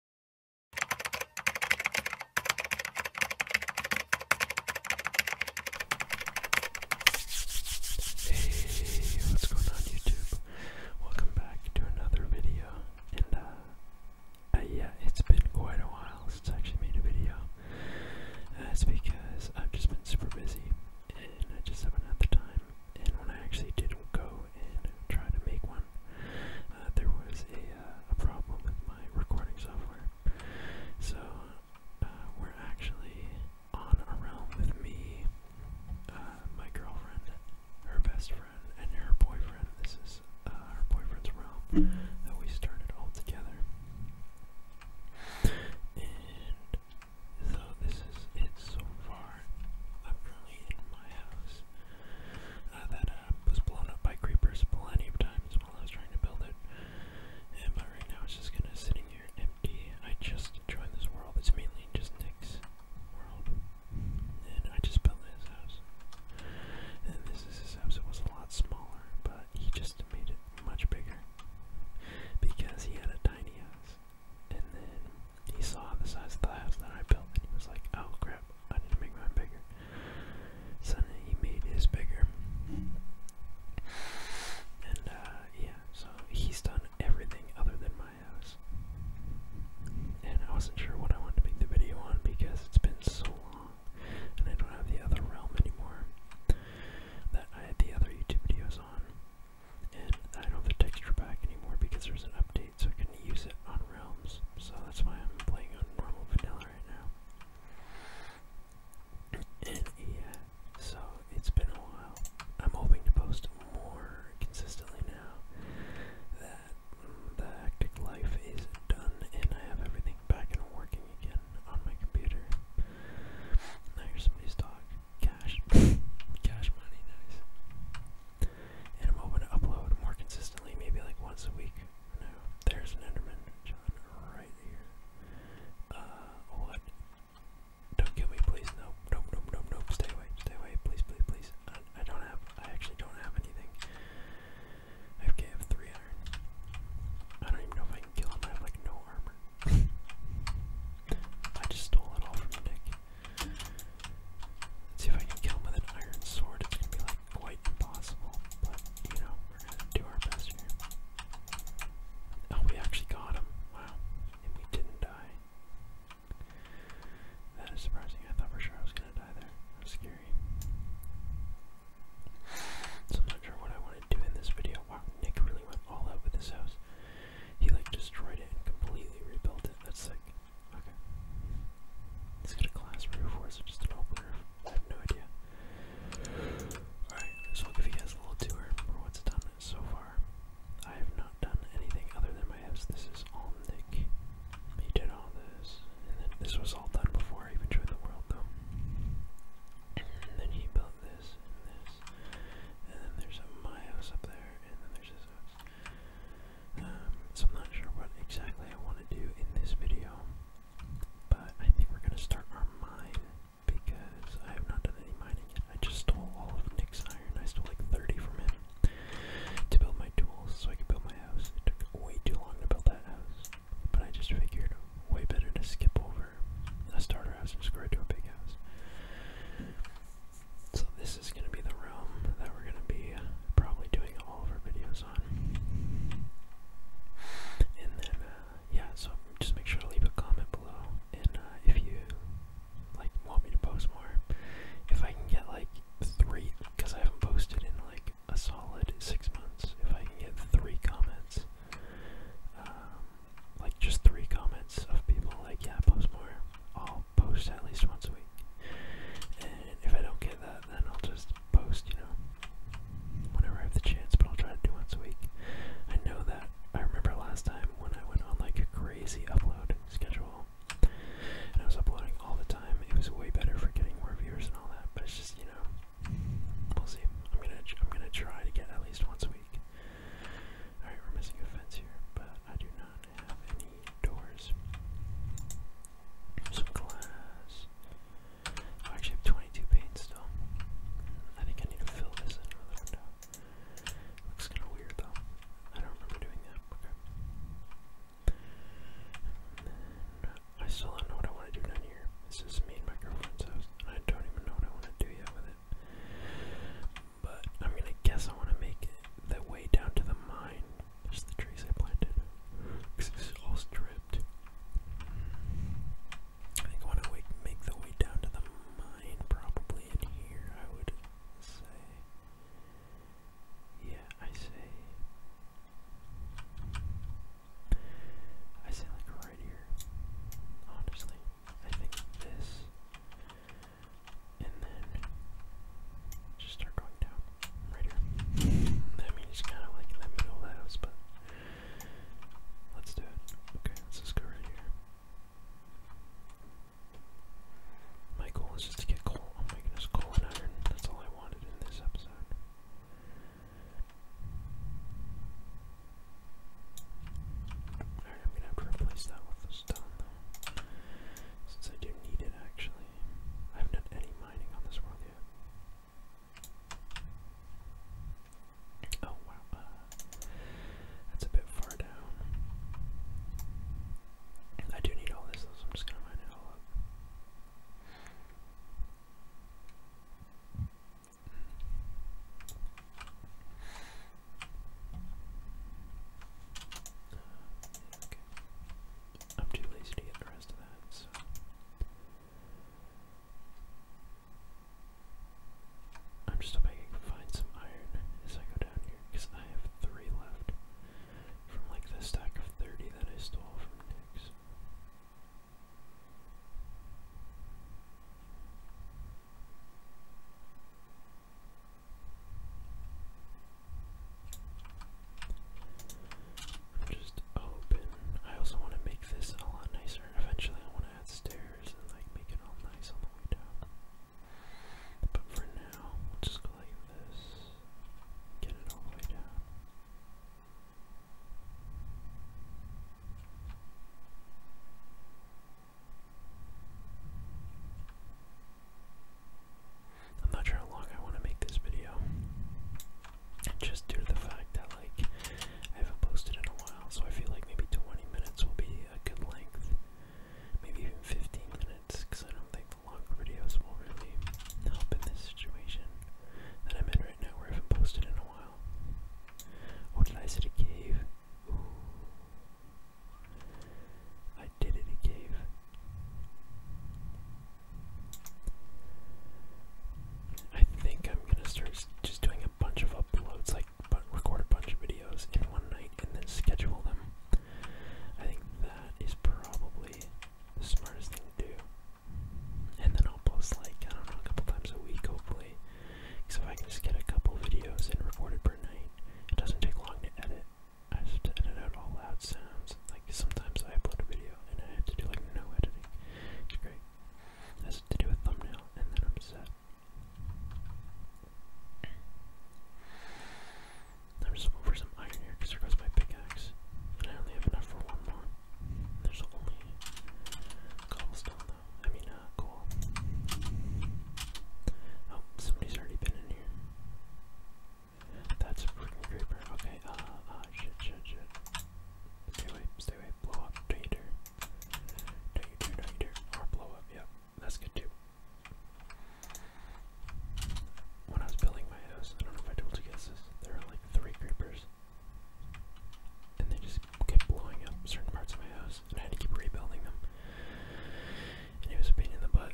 Hey, what's going on YouTube? Welcome back to another video. And uh, uh, yeah, it's been quite a while since I actually made a video. That's uh, because I've just been super busy and I just haven't had the time. And when I actually did go and try to make one, uh, there was uh, a, problem with my recording software. So uh, we're actually on a realm with me, my girlfriend, her best friend, and her boyfriend. This is her boyfriend's realm that we started all together. And so this is it so far. I'm currently in my house uh, that uh, was blown up by creepers plenty of times while I was trying to build it. And, but right now it's just kind of sitting here empty. I just joined this world. It's mainly just Nick's world. And I just built his house. And this is his house. It was a lot smaller, but he just made it much bigger because he had a tiny house. And then he saw the size of the house that I built and he was like, oh crap, I need to make mine bigger. Suddenly he made his bigger. And uh, yeah, so he's done everything other than my house. And I wasn't sure what I wanted to make the video on because it's been so long and I don't have the other realm anymore that I had the other YouTube videos on. And I don't have the texture pack anymore because there's an update so I could use it on Realms. So that's why I'm playing on normal vanilla right now. And yeah, so it's been a while. I'm hoping to post more consistently now that mm, the hectic life is done and I have everything back and working again on my computer. Now here's somebody's dog. Cash. Cash money, nice and I'm hoping to upload more consistently, maybe like once a week. No, there's an Enderman, John, right here. what? Uh, don't kill me, please. No, nope, nope, nope, nope. Stay away, stay away, please, please, please. I, don't have. I actually don't have anything. I have three I don't even know if I can kill him. I have like no armor. I just stole it all from Nick see if I can kill him with an iron sword. It's gonna be like quite impossible, but you know, we're gonna do our best here. Oh, we actually got him. Wow. And we didn't die. That is surprising. I thought for sure I was gonna die there. That's scary. So I'm not sure what I want to do in this video. Wow, Nick really went all out with his house. He like destroyed it and completely rebuilt it. That's sick. Okay. Is it a glass roof or is it just an open I have no idea. Alright, so i give you guys a little tour for what's done so far. I have not done anything other than my house. This is all Nick. He did all this. And then this was all done before I even joined the world though. And then he built this and this. And then there's a, my house up there, and then there's his house. Um, so I'm not sure what exactly I want to do in this video, but I think we're going to start our mine because I have not done any mining I just stole all of Nick's iron. I stole like 30 from him to build my tools so I could build my house. It took way too long to build that house, but I just figured way better to skip over a starter house and just go right to a big house. So this is going to be the room that we're going to be probably doing all of our videos on. And then, uh, yeah, so just make sure to leave a comment below, and uh, if you, like, want me to post more, if I can get, like, three, because I haven't posted in, like, a solid six months, if I can get three comments, um, like, just three comments of people, like, yeah, post more, I'll post at least once a week. And if I don't get that, then I'll just post, you know, whenever I have the chance, but I'll try to do once a week. I know that I remember last time when I went on like a crazy upload schedule and I was uploading all the time, it was way better for getting more viewers and all that, but it's just, you know, we'll see. I'm gonna, I'm gonna try to get at least once a week. Alright, we're missing a fence here, but I do not have any doors. Some glass. Oh, I actually have 22 paint still. I think I need to fill this in Looks kind of weird though. I don't remember doing that. Okay. I still don't know what I want to do down here. This is me and my girlfriend's house, and I don't even know what I want to do yet with it. But I'm gonna guess I wanna make it the way down to the mine. just the trees I planted. Because it's all stripped. I think I wanna make the way down to the mine probably in here, I would say. Yeah, I say. I say like right here. Honestly. I think this and then just start going down right here. I mean, kind of like let me know that was, but let's do it. Okay, let's just go right here. My goal is just to get coal. Oh my goodness, coal and iron. That's all I wanted in this episode. Alright, I'm gonna have to replace that with this since I do need it actually. I haven't done any mining on this world yet. Oh wow, uh, that's a bit far down. I do need all this so I'm just gonna mine it all up. I'm too lazy to get the rest of that, so. I'm just hoping I can find some iron as I go down here, because I have three left from like the stack of 30 that I stole from Nick's. Just open. I also want to make this a lot nicer. Eventually, I want to add stairs and like make it all nice on the way down. But for now, we'll just go like this. Get all the way down. I'm not sure how long I want to make this video. Just due to the fact that like I haven't posted in a while, so I feel like maybe 20 minutes will be a good length. Maybe even 15 minutes, because I don't think longer videos will really help in this situation that I'm in right now where I haven't posted in a while. What lies I a cave? I did it a I think I'm gonna start just doing a bunch of uploads, like record a bunch of videos in one night and then schedule them. I think that is probably the smartest thing to do. And then I'll post like, I don't know, a couple times a week hopefully. So if I can just get a couple videos in recorded per night, it doesn't take long to edit. I just have to edit out all loud sounds. Like sometimes I upload a video and I have to do like no editing. It's great. I have to do a thumbnail and then I'm set. I'm just looking for some iron here because there goes my pickaxe. And I only have enough for one more. There's only cobblestone I mean, uh, coal. Oh, somebody's already been in here. That's a freaking creeper. Okay, uh, uh, shit, shit, shit. Stay away, stay away, blow up, don't you dare. Don't you dare, don't you dare. Or blow up, yep, that's good too. When I was building my house, I don't know if I told you guys this, there were like three creepers. And they just kept blowing up certain parts of my house and I had to keep rebuilding them. And it was a pain in the butt.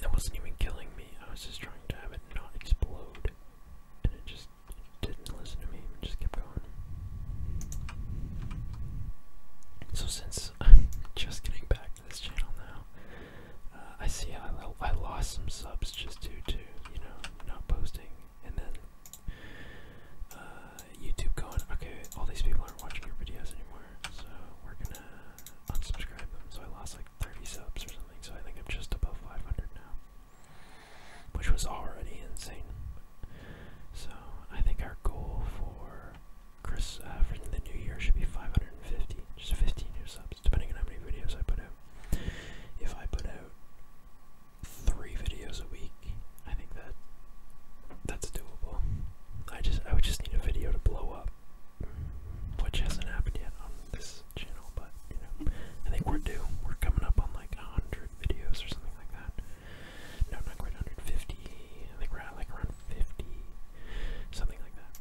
That wasn't even killing me, I was just trying to have it not explode. And it just didn't listen to me, it just kept going. So since I'm just getting back to this channel now, uh, I see I, lost some subs just due to, you know, not posting. And then uh, YouTube going, okay, all these people aren't watching your videos anymore, so we're gonna unsubscribe them. So I lost like 30 subs or something, so I think I'm just above 500 now, which was already insane. So I think our goal for Chris uh, for the new year should be 550, just 15 new subs, depending on how many videos I put out. If I put out three videos a week, I think that that's doable. I just I would just need a video to blow up, which hasn't happened yet on this channel, but you know, I think we're due. We're coming up on like 100 videos or something like that. No, not quite 150. I think we're at like around 50, something like that.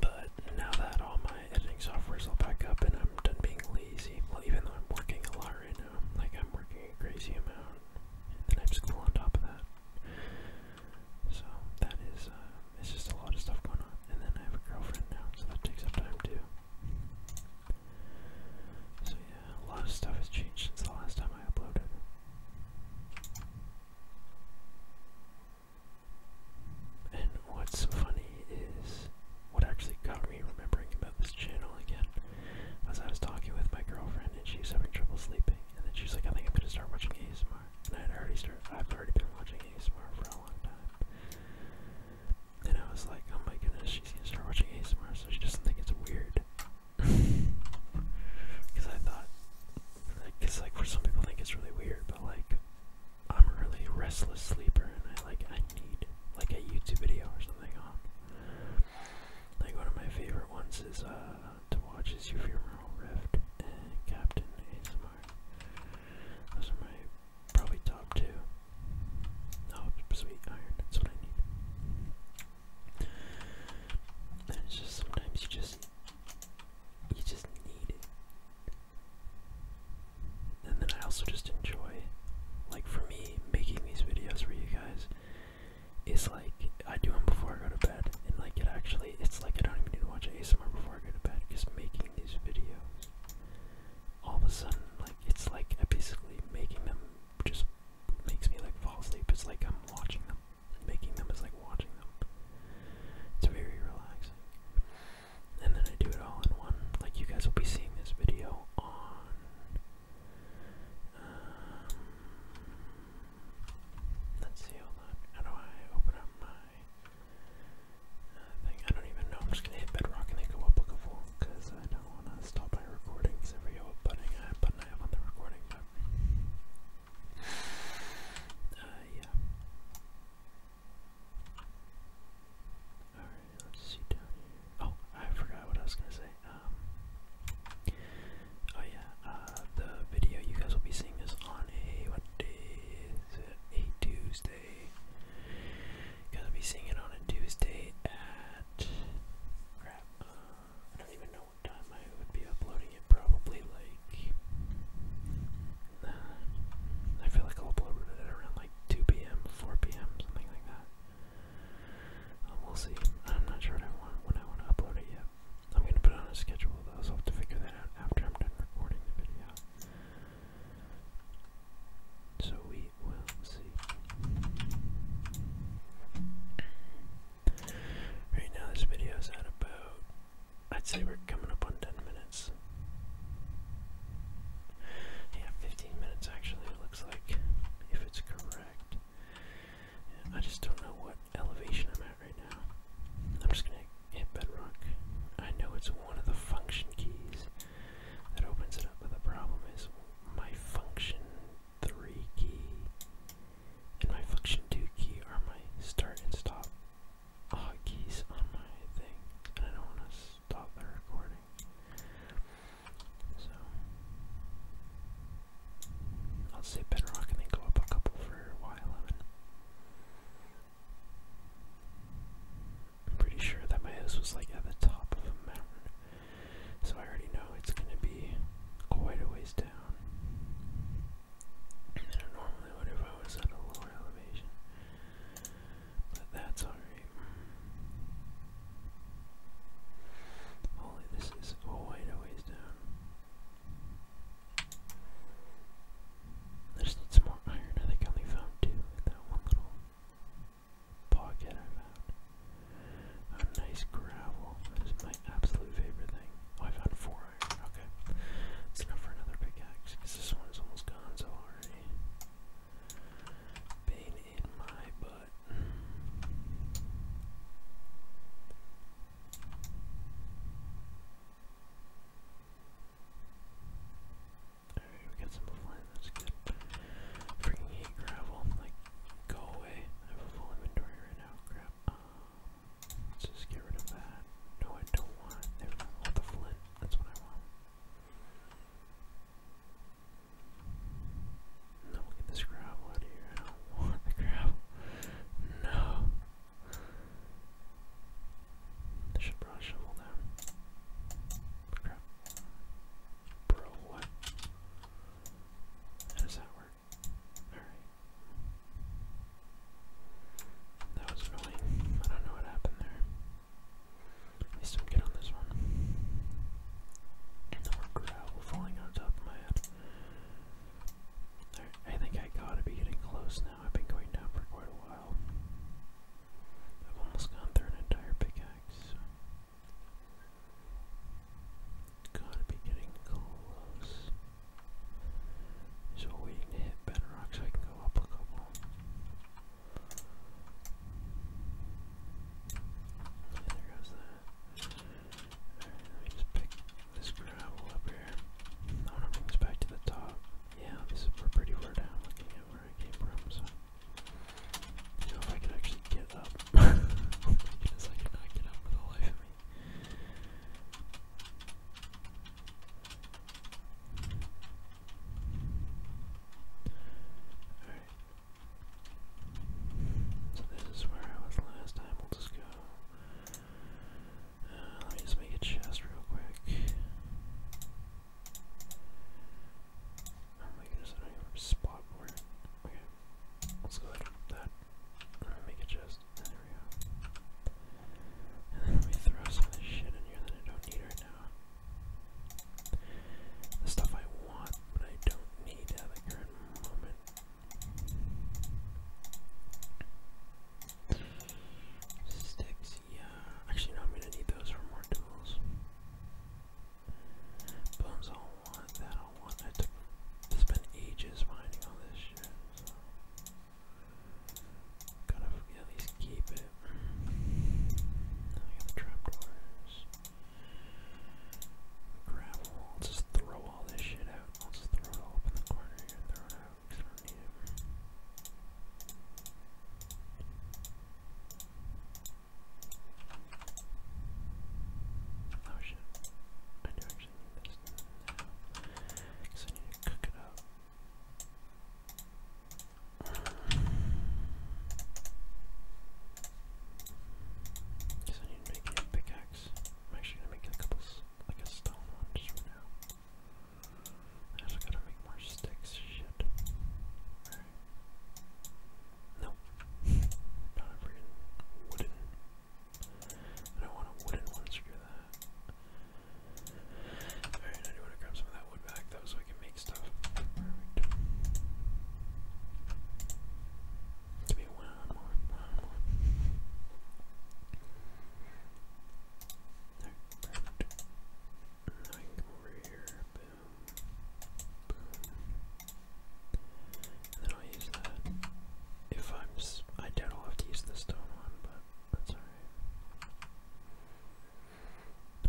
But now that all my editing software is all back up and I'm I'm done being lazy. Well, even though I'm working a lot right now, like I'm working a crazy amount, and then I have school on top of that. So that is, uh, it's just a lot of stuff going on. And then I have a girlfriend now, so that takes up time too. So yeah, a lot of stuff has changed since the last time I uploaded. And what's funny is what actually got me remembering about this channel again was I was talking with my girlfriend and she was having trouble sleeping, and then she like, I think I'm gonna start watching ASMR. And I had already started, I've already been watching ASMR for a long time. And I was like, oh my goodness, she's gonna start watching ASMR, so she doesn't think it's weird. Because I thought, because like, for some people think it's really weird, but like, I'm a really restless sleeper and I like I need like a YouTube video or something on. Like one of my favorite ones is uh, to watch is Ephemeral Rift and Captain ASMR. Those are my probably top two. Oh sweet iron, that's what I need. And it's just sometimes you just you just need it and then I also just enjoy, like for me, making these videos for you guys is like I do them before I go to bed, and like it actually, it's like I don't even need to watch ASMR before I go to bed. Just making these videos, all of a sudden, like it's like I basically making them just makes me like fall asleep. It's like I'm watching them, making them is like watching them. It's very relaxing and then I do it all in one. Like you guys will be seeing this video on um, let's see, hold on. How do I open up my uh, thing? I don't even know. I'm just gonna hit bedrock and they go up bookable because I don't wanna stop my recording because I forget button I have on the recording, but uh, yeah. Oh, I forgot what I was gonna say. Um, oh yeah, uh, the video you guys will be seeing this on a what day is it? A Tuesday. You guys will be seeing it on a Tuesday at crap. Uh, I don't even know what time I would be uploading it, probably like I feel like I'll upload it around like 2 p.m., 4 p.m., something like that. Um, we'll see. I'm not sure when I want to upload it yet. I'm going to put it on a schedule though, I'll have to figure that out after I'm done recording the video. So we will see. Right now, this video is at about. I'd say we're coming up on 10 minutes. Yeah, 15 minutes actually, it looks like, if it's correct. I just don't know what elevation I'm at right now. I'm just gonna hit bedrock. I know it's one of the function keys that opens it up, but the problem is my function 3 key and my function 2 key are my start and stop hotkeys on my thing, and I don't want to stop the recording. So, I'll say bedrock and then go up a couple for Y11. I'm pretty sure that my house was like at the top of a mountain, so I already know it's going to be quite a ways down. And I normally would if I was at a lower elevation. But that's alright. Holy, this is quite a ways down. I just need some more iron. I think I only found two in that one little pocket I found. nice gravel. This is my absolute favorite thing. Oh, I found four iron. Okay. enough for another pickaxe because this one is almost gone so hard pain in my butt. Alright, we got some flying, that's good. Freaking hate gravel, like, go away. I have full inventory right now, crap. Um, let's just get rid of that. No, I don't want it. All the flint, that's what I want. No, we'll get this gravel out here. I don't want the gravel. No. They should probably shovel down. Crap. Bro, what? How does that work? Alright. That was really. I don't know what happened there. I'm good on this one. I think I gotta be getting close now. I've been going down for quite a while. I've almost gone through an entire pickaxe. Gotta be getting close. Just waiting to hit bedrock so I can go up a couple there goes that. let me just pick this gravel up here. I want to bring this back to the top. Yeah, this is, we're pretty far down looking at where I came from, so. You know, if I could actually get up. oh my goodness, cannot get up for the life of me. So this is where I was last time. We'll just go. Uh, let me just make a chest real quick. Oh my goodness, I have a spot Okay. Let's go ahead that. make a chest. There we go. And then let throw some of this shit in here that I don't need right now. The stuff I want, but I don't need at the current moment. Sticks, yeah. Actually, I'm gonna need those for more tools. Bones, I'll want that. I'll want. I took. it ages mining all this shit. Gotta at least keep it. the trapdoors. gravel. I'll just throw all this shit out. I'll just throw it all up in the corner and throw it out Oh shit. I do actually need this Because I need to cook it up. I need to make a pickaxe. I'm actually gonna make a couple, like a stone one just for now. I also gotta make more sticks, shit. Nope. Not a freaking wooden. I don't want a wooden one, screw that. Alright, I do want to grab some of that wood back though so I can make stuff. Perfect. Give me one more, one more. There, perfect. Now I can come over here. Boom. Boom. And then I'll use that. If I'm, I doubt I'll have to use the stone one, but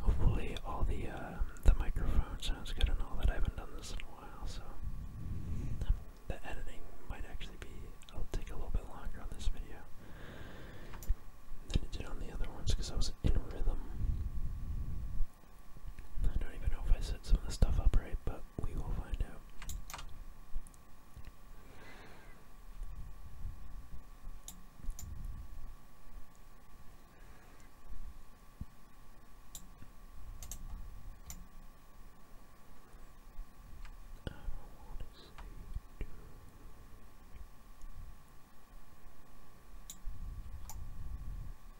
Hopefully, all the um, the microphone sounds good and all that. I haven't done this in a while, so the editing might actually be. I'll take a little bit longer on this video than it did on the other ones because I was in rhythm. I don't even know if I set some of the stuff up right, but we will find out. I want to see you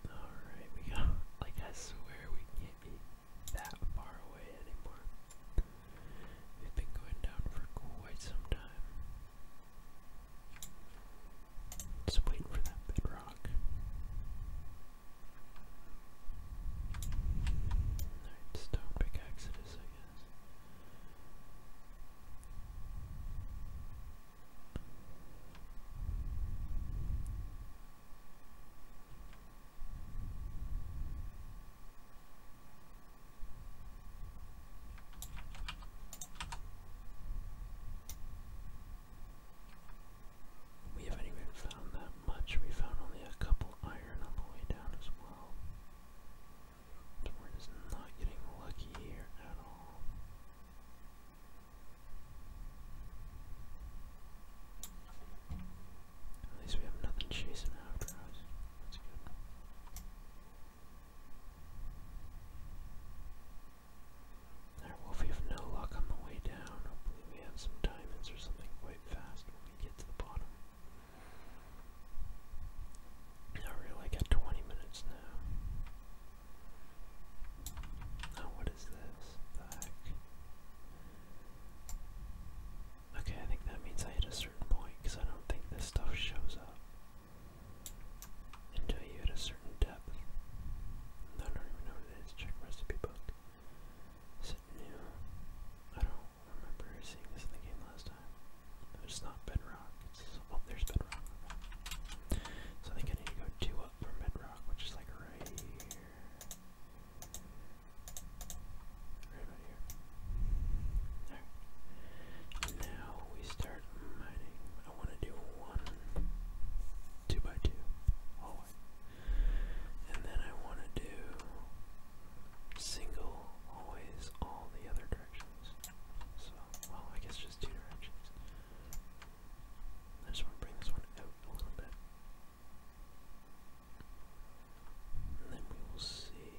Alright, we got I swear we can't be that far away anymore. They've been going down for quite some time. Just waiting for that bedrock. Alright, stone pickaxe I guess. We haven't even found that much. We found only a couple iron on the way down as well. So we not getting lucky here at all. At least we have nothing chasing after us. That's good. Alright, well we have no luck on the way down, hopefully we have some diamonds or something quite fast when we get to the bottom. Not really, got 20 minutes now. Oh, what is this? The heck? Okay, I think that means I hit a certain point because I don't think this stuff shows up until you hit a certain depth. I don't even know what it is. Check recipe book. Is I don't remember seeing this in the game last time. It's not bedrock. oh, there's bedrock. So I think I need to go two up from bedrock, which is like right here. Right about here. There. Now we start mining. I want to do one two by two hallway. And then I want to do single always all the other directions. So, well, I guess just two directions. I just want to bring this one out a little bit then we will see.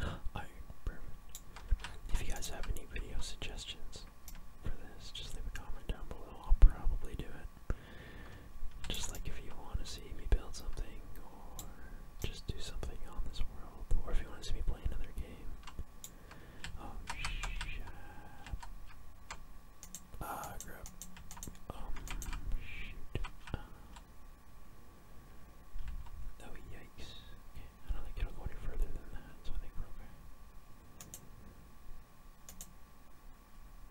If you guys have any video suggestions for this, just leave a comment down below. I'll probably do it. Just like if you want to see me build something, or just do something on this world, or if you want to see me play another game. Oh, shit. Uh, grab. oh, yikes. I don't think it'll go any further than that, so I think we're okay.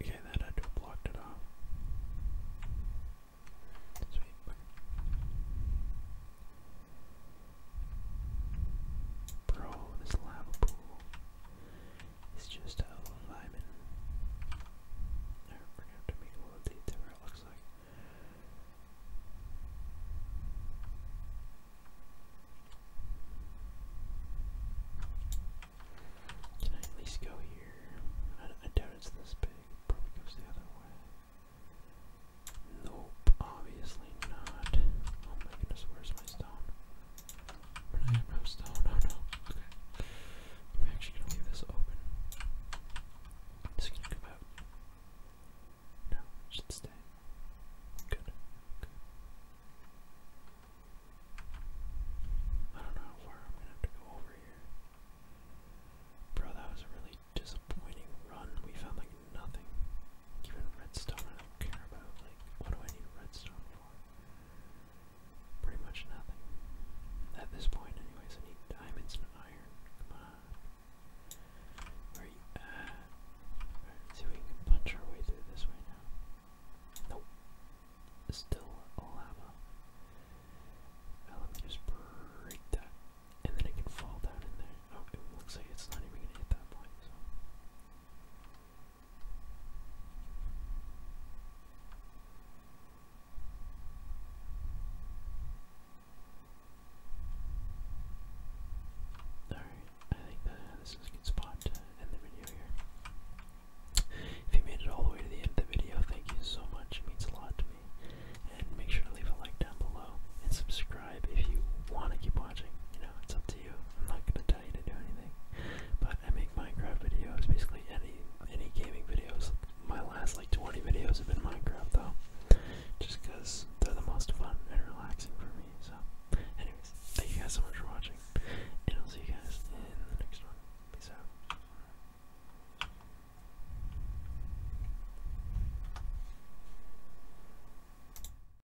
Okay, that had to blocked it off. Sweet. Bro, this lava pool. It's just a whole environment. We're gonna to make a little detail it looks like. Can I at least go here? I, I doubt it's this big. It probably goes the other way. Nope, obviously not. Oh my goodness, where's my stone? Not post. No, no, no. Okay. I'm actually gonna leave this open. i gonna come out. No, should stay. Good. I don't know how far I'm gonna have to go over here. Bro, that was a really disappointing run. We found like nothing. Even redstone don't care about, like, what do I need redstone for? Pretty much nothing. At this point, anyways, I need diamonds and iron. Come on. Where are you see if we can punch our way through this way now. Nope. Still lava. Now uh, let me just break that. And then it can fall down in there. Oh, it looks like it's not even gonna hit that point, Alright, I think uh, this is a good spot to end the video here. If you made it all the way to the end of the video, thank you so much. It means a lot to me. And make sure to leave a like down below and subscribe if you want to keep watching. You know, it's up to I'm not gonna tell you to do anything. But I make Minecraft videos, basically any any gaming videos. My last like 20 videos have been Minecraft though, just because they're the most fun and relaxing for me. So, anyways, thank you guys so much for watching, and I'll see you guys in the next one. Peace out.